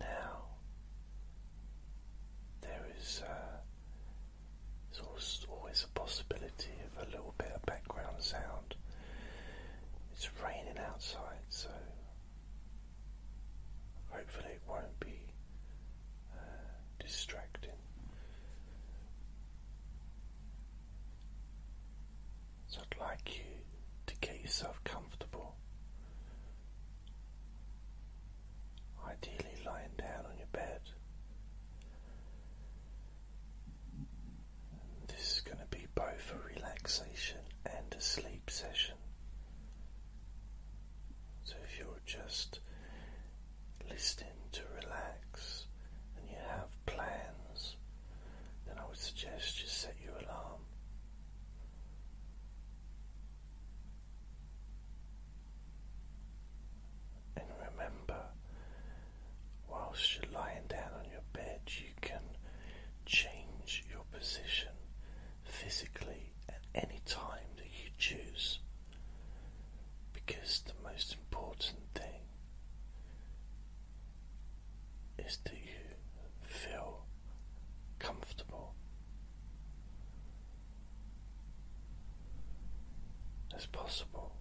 Now there is uh, always a possibility of a little bit of background sound. It's raining outside, so hopefully it won't be uh, distracting. So I'd like you to get yourself comfortable. Ideally, lying down on your bed. This is going to be both a relaxation and a sleep session. So, if you're just listening to relax and you have plans, then I would suggest you set your alarm. And remember, whilst you're lying down on your bed, you can change your position physically at any time that you choose. Because the most important thing is that you feel comfortable. As possible,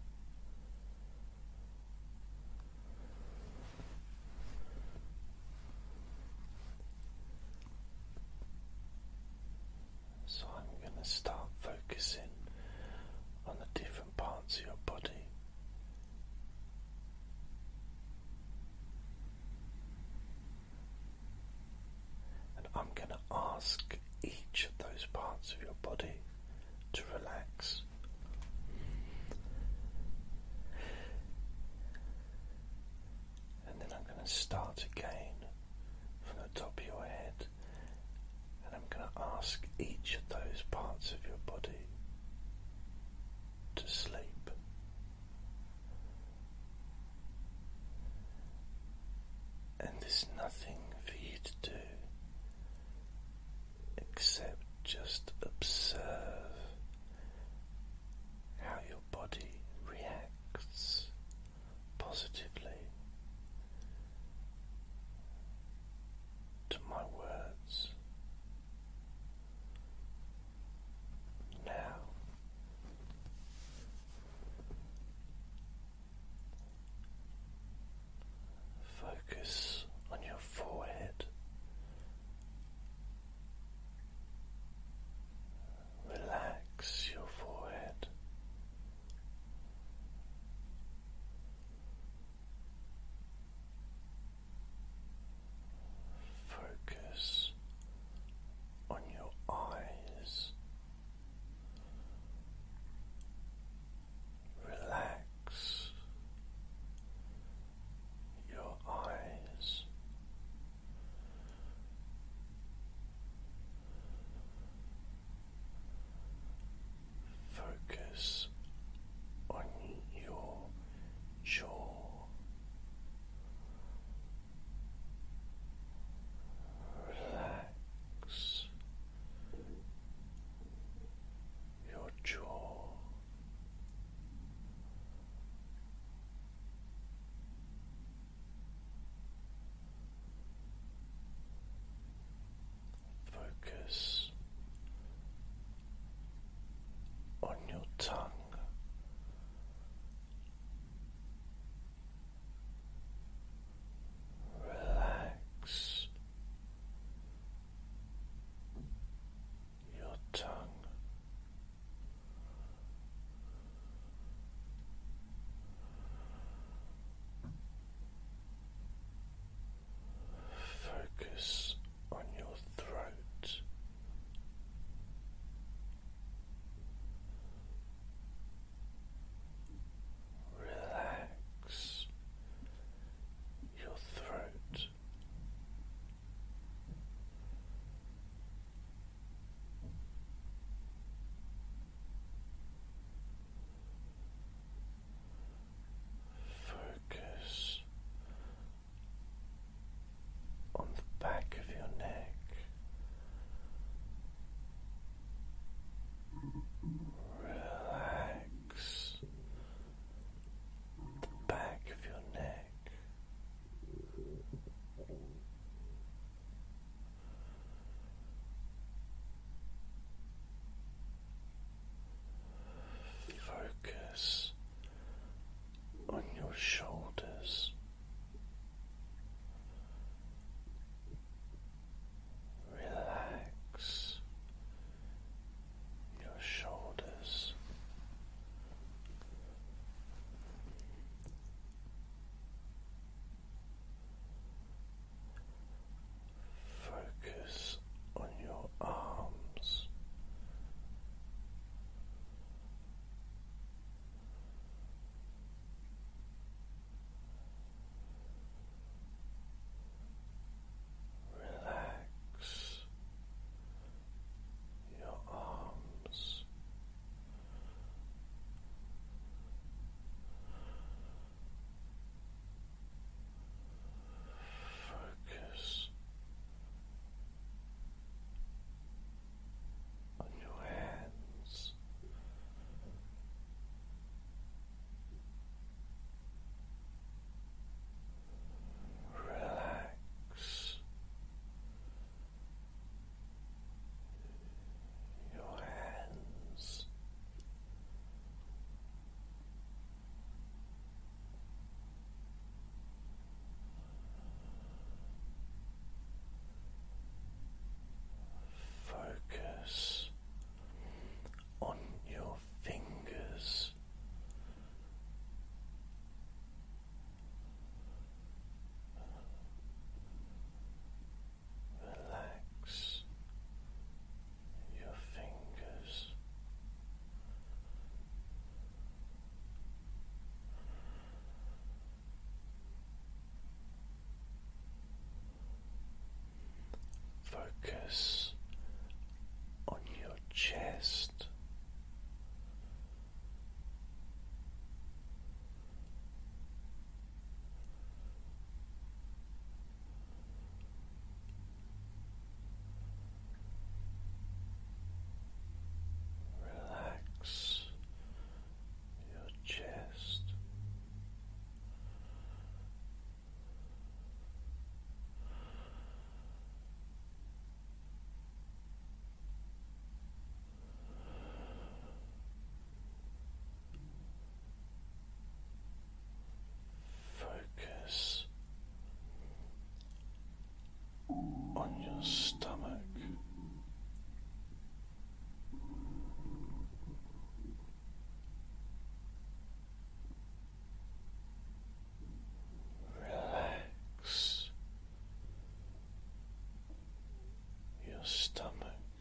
so I'm going to start focusing on the different parts of your body and I'm going to ask each of those parts of your body to relax. And then I'm going to start again from the top of your head, and I'm going to ask each of those parts of your body to sleep. And there's nothing for you to do except just observe how your body reacts positively to my words now. Focus on your forehead. Relax your forehead. Focus on your eyes. Relax your eyes. Focus on your jaw. Relax your jaw. Focus on your tongue. Relax your tongue. Focus on your throat. Relax your throat. Focus on the back of your neck. Relax the back of your neck. Focus on your shoulders. Relax your shoulders. Focus on your arms. Relax your arms. Focus on your hands. Relax your hands. Focus on your fingers. Relax your fingers. Focus on your chest. Relax your chest. Focus on your stomach. Relax your stomach.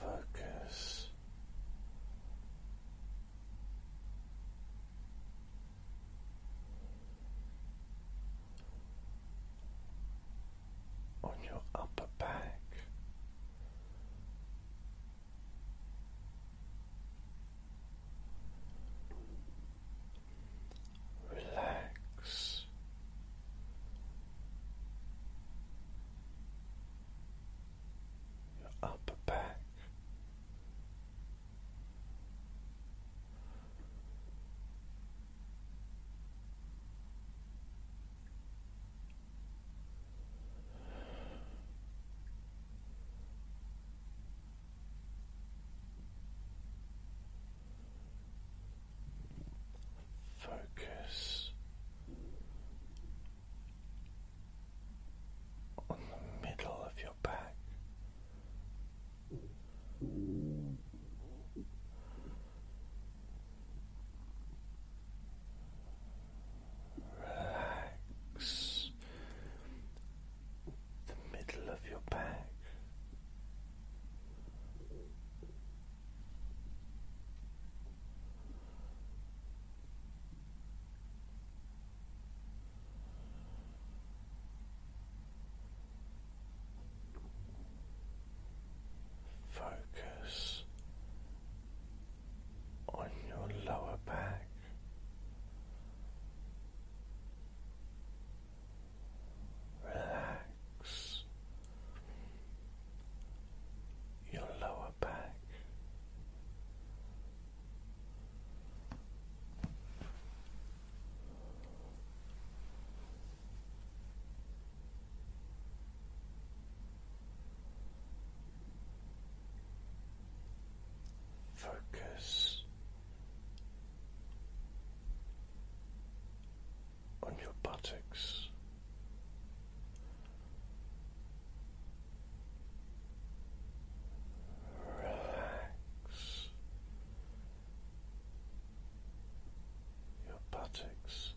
Focus on your upper back relax. Your upper back, Focus on the middle of your back. Relax the middle of your back. Focus on your lower back, relax your lower back. Focus on your buttocks. Relax your buttocks.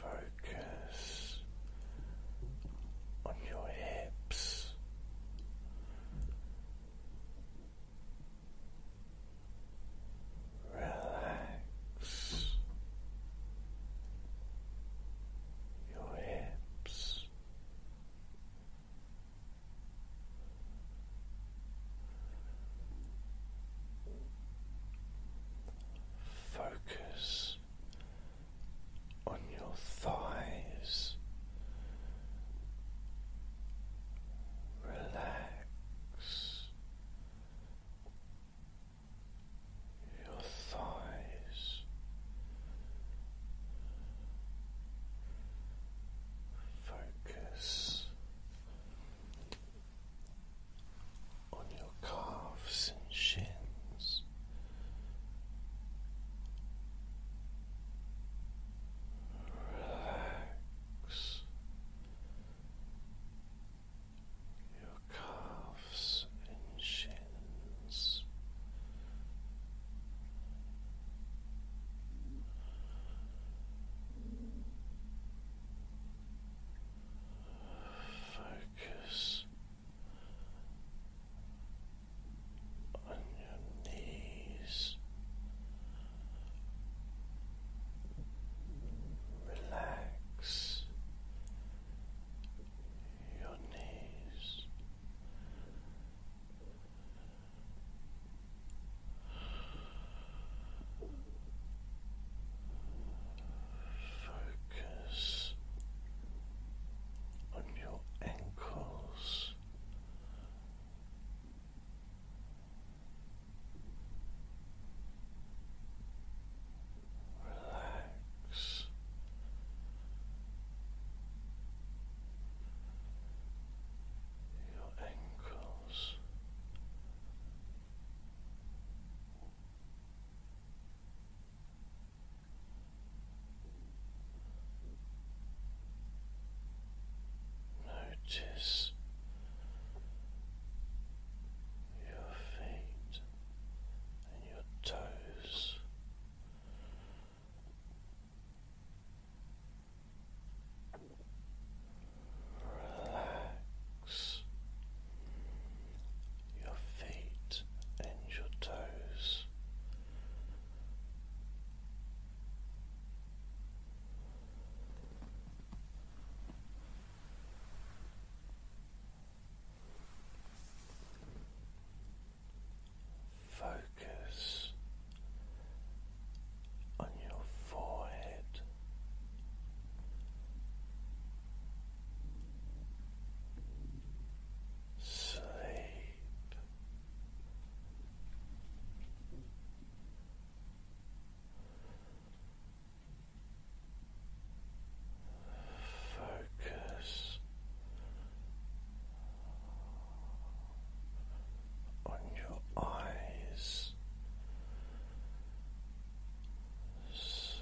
Focus on your hips. Relax your hips. Focus on your thighs, relax your thighs, focus on your calves and shins. Relax your calves and shins. Focus on your knees Relax your knees. Focus on your ankles. Relax. Your ankles, notice your feet and your toes. Relax your feet and your toes. Focus on your forehead. Sleep. Focus on your eyes. Sleep.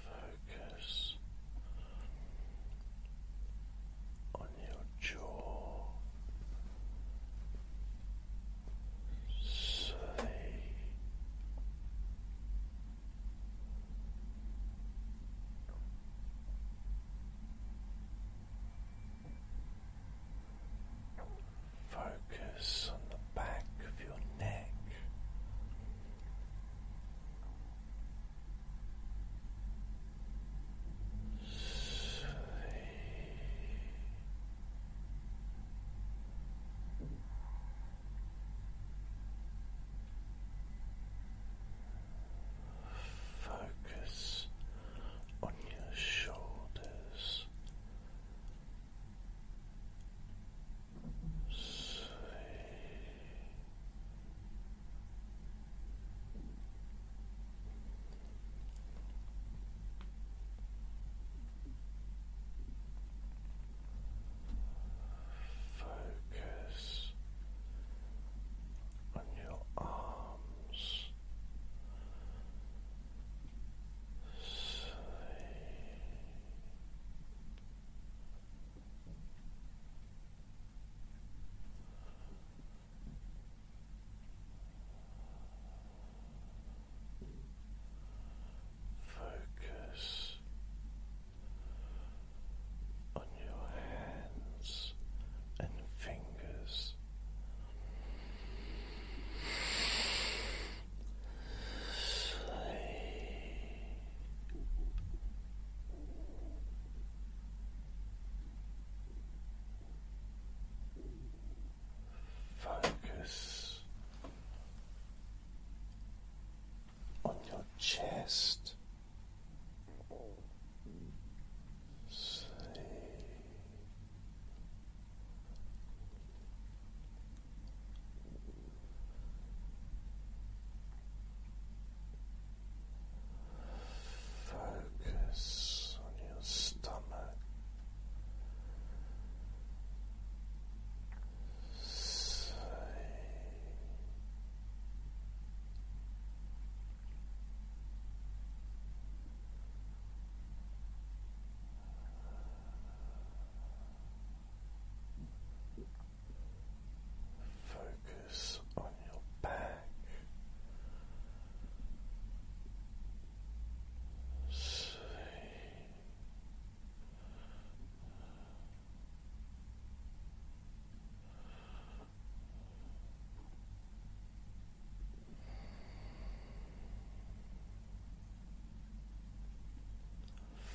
Focus on your jaw, sleep, Focus on the back of your neck. Sleep. Focus on your shoulders Sweet. Focus on your arms Focus on your hands and fingers. Focus on your chest. Sleep. Focus on your stomach. Say, Focus on your back, sleep.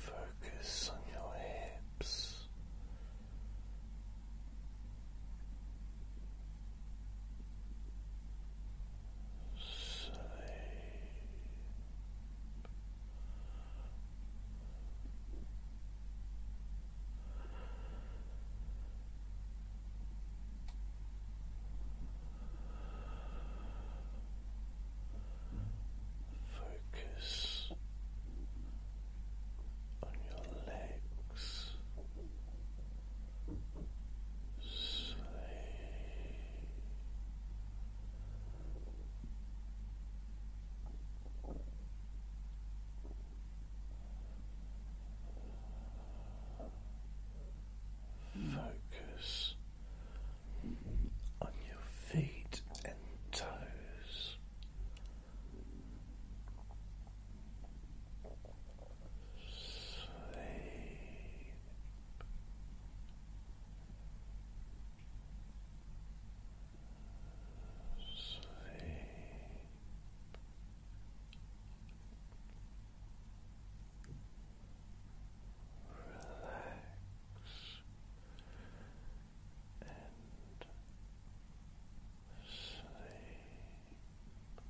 Focus on your hips. Sleep. Focus on your legs. Sleep. Relax. Focus on your feet and toes. Sleep. Sleep relax and sleep. Sleep.